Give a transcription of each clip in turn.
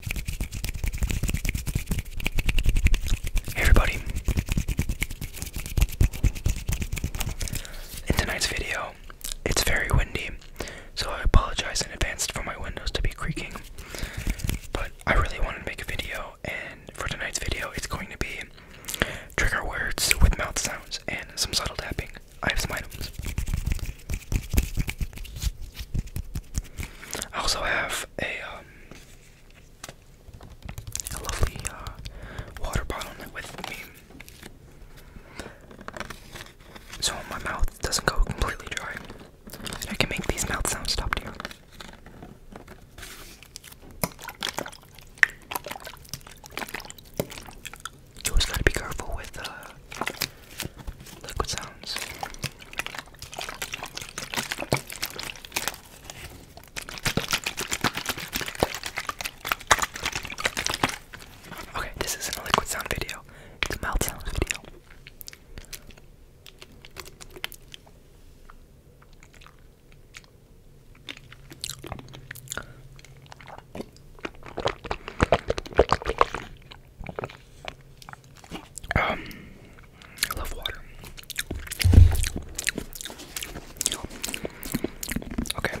Hey everybody! In tonight's video, it's very windy, so I apologize in advance for my windows to be creaking. But I really wanted to make a video, and for tonight's video, it's going to be trigger words with mouth sounds and some subtle tapping. I have some items. I also have a, um, lovely uh, water bottle with me. So my mouth doesn't go completely dry. And I can make these mouth sounds stop here. You always gotta be careful with uh, liquid sounds. Okay, this isn't a liquid sound video, it's a mouth sound video. Um, I love water. Okay.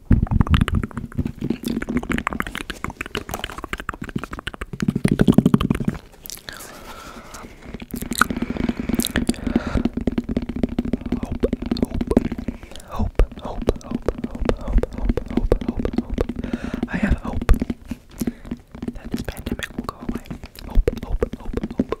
hope, hope, hope, hope, hope, hope, hope, hope, hope. I have hope that this pandemic will go away. Hope, hope, hope, hope.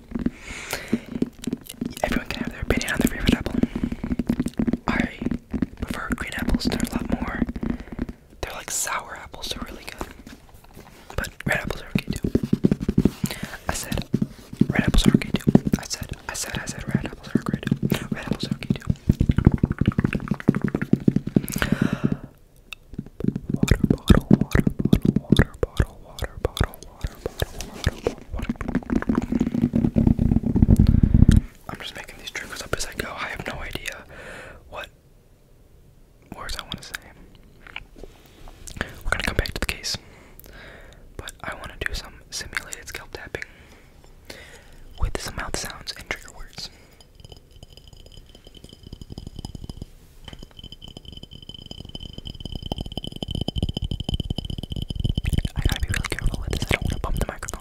Everyone can have their opinion on their favorite apple. I prefer green apples, they're a lot more. They're like sour apples, they're really good. But red apples are okay too. I said red apples are okay too. I said, I said, I said red apples are great. Red apples are okay too. I'm just making these triggers up as I go. I have no idea what words I want to say. We're gonna come back to the case, but I want to do some simulated scalp tapping with some mouth sounds and trigger words. I gotta be really careful with this. I don't want to bump the microphone.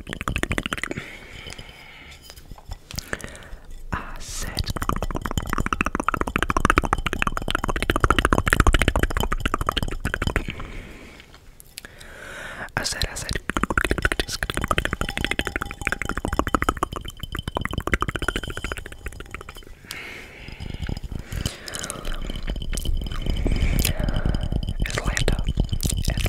I said I said I said Atlanta, Atlanta,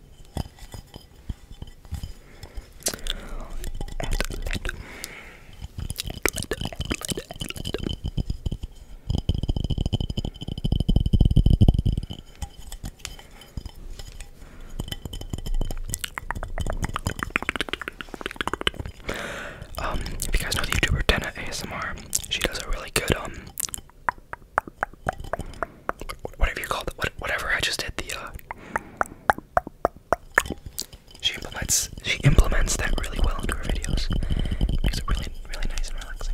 Um, if you guys know the YouTuber Tena ASMR, she does a really good um whatever you call it, whatever I just did, the, uh, she implements, she implements that really well into her videos. It makes really, really nice relaxing.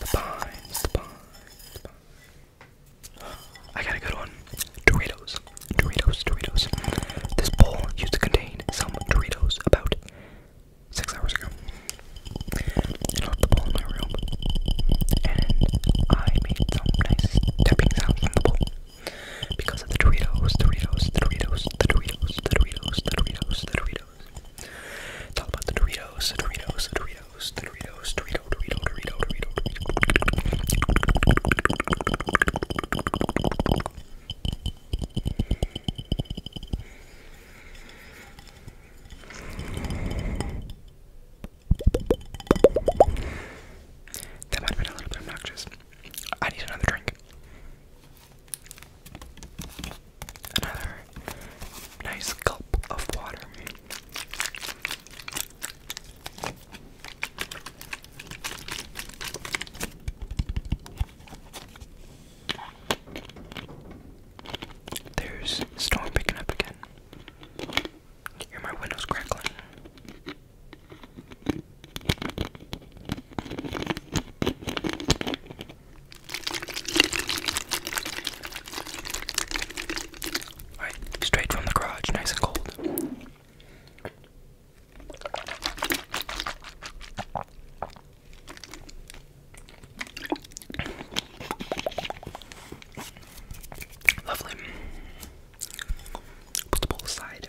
The pines, the pines, I got a good one. Doritos, Doritos, Doritos. This bowl used to contain some Doritos about six hours ago. I left the bowl in my room, and I made some nice tapping sounds from the bowl because of the Doritos, Doritos, Doritos, the Doritos the Doritos, the Doritos, the Doritos. Talk about the Doritos, the Doritos, the Doritos, the Doritos, Dorito, Dorito, Dorito, Dorito, Dorito. That might have been a little bit obnoxious. I need another drink. Another nice gulp of water. There's storm picking up again. Hear my windows crackling. Alright, straight from the garage, nice and cold. Lovely. Put the bowl aside.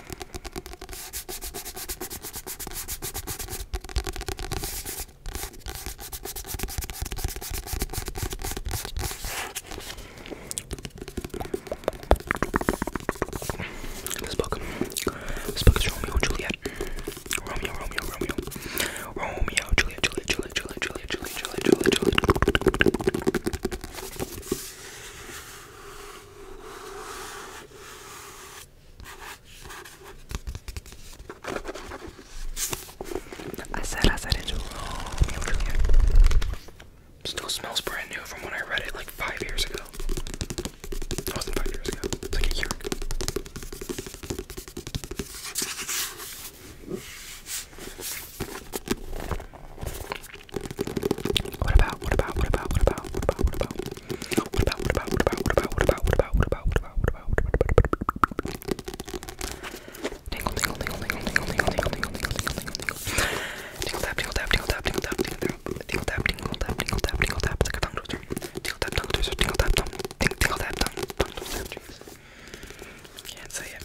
this book. This book is Romeo and Juliet. Romeo, Romeo, Romeo. Romeo, Juliet, Juliet, Juliet, Juliet, Juliet, Juliet, Juliet, Juliet, Juliet. Still smells brand new from when I read it like five years ago. It wasn't five years ago, it's like a year what about, what about, what about, what about, what about? What about, what about, what about, what about, what about, what about, what about, what about, what about, what about, what about, what about? Tingle, tingle, tingle, tingle, tingle, tingle, tingle, tingle, tingle, tingle, tingle. Tingle tap, tingle tap, tingle tap, tingle tap, tingle tap, tingle tap, tingle tap, tingle tap, tingle tap, it's like a tongue twister. Tingle tap, tongue twister, tingle tap, tongue, tingle, tingle tap, tongue, tongue twister, jeez. Can't say it.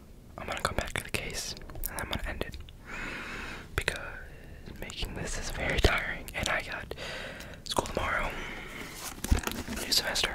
I'm gonna come back to the case and I'm gonna end it because making this is very tiring and I got school tomorrow, new semester.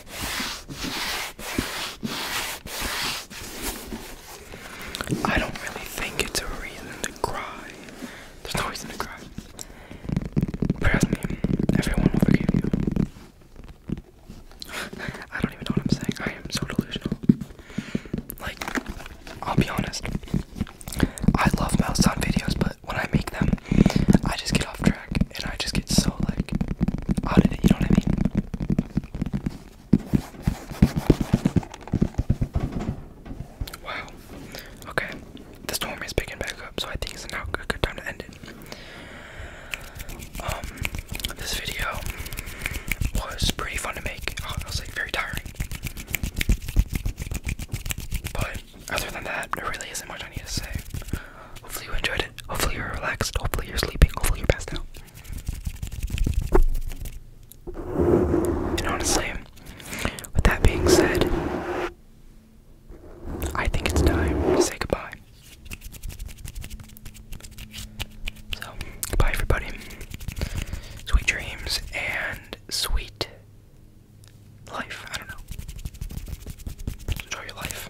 I don't really think it's a reason to cry. There's no reason to cry. Trust me, everyone will forgive you. I don't even know what I'm saying. I am so delusional. Like, I'll be honest. I love mouse on videos, but when I make them, I just get off track and I just get so like out of it. know what I mean? Wow. Okay. The storm is picking back up, so I think it's now a good time to end it. Um, this video was pretty fun to make. I was like very tiring, but other than that, there really isn't much I need to say. Hopefully you enjoyed it. Hopefully you're relaxed. Hopefully you're sleeping. Hopefully you're passed out. And honestly, with that being said, I think it's time to say goodbye. So, goodbye everybody. Sweet dreams and sweet life. I don't know. Enjoy your life.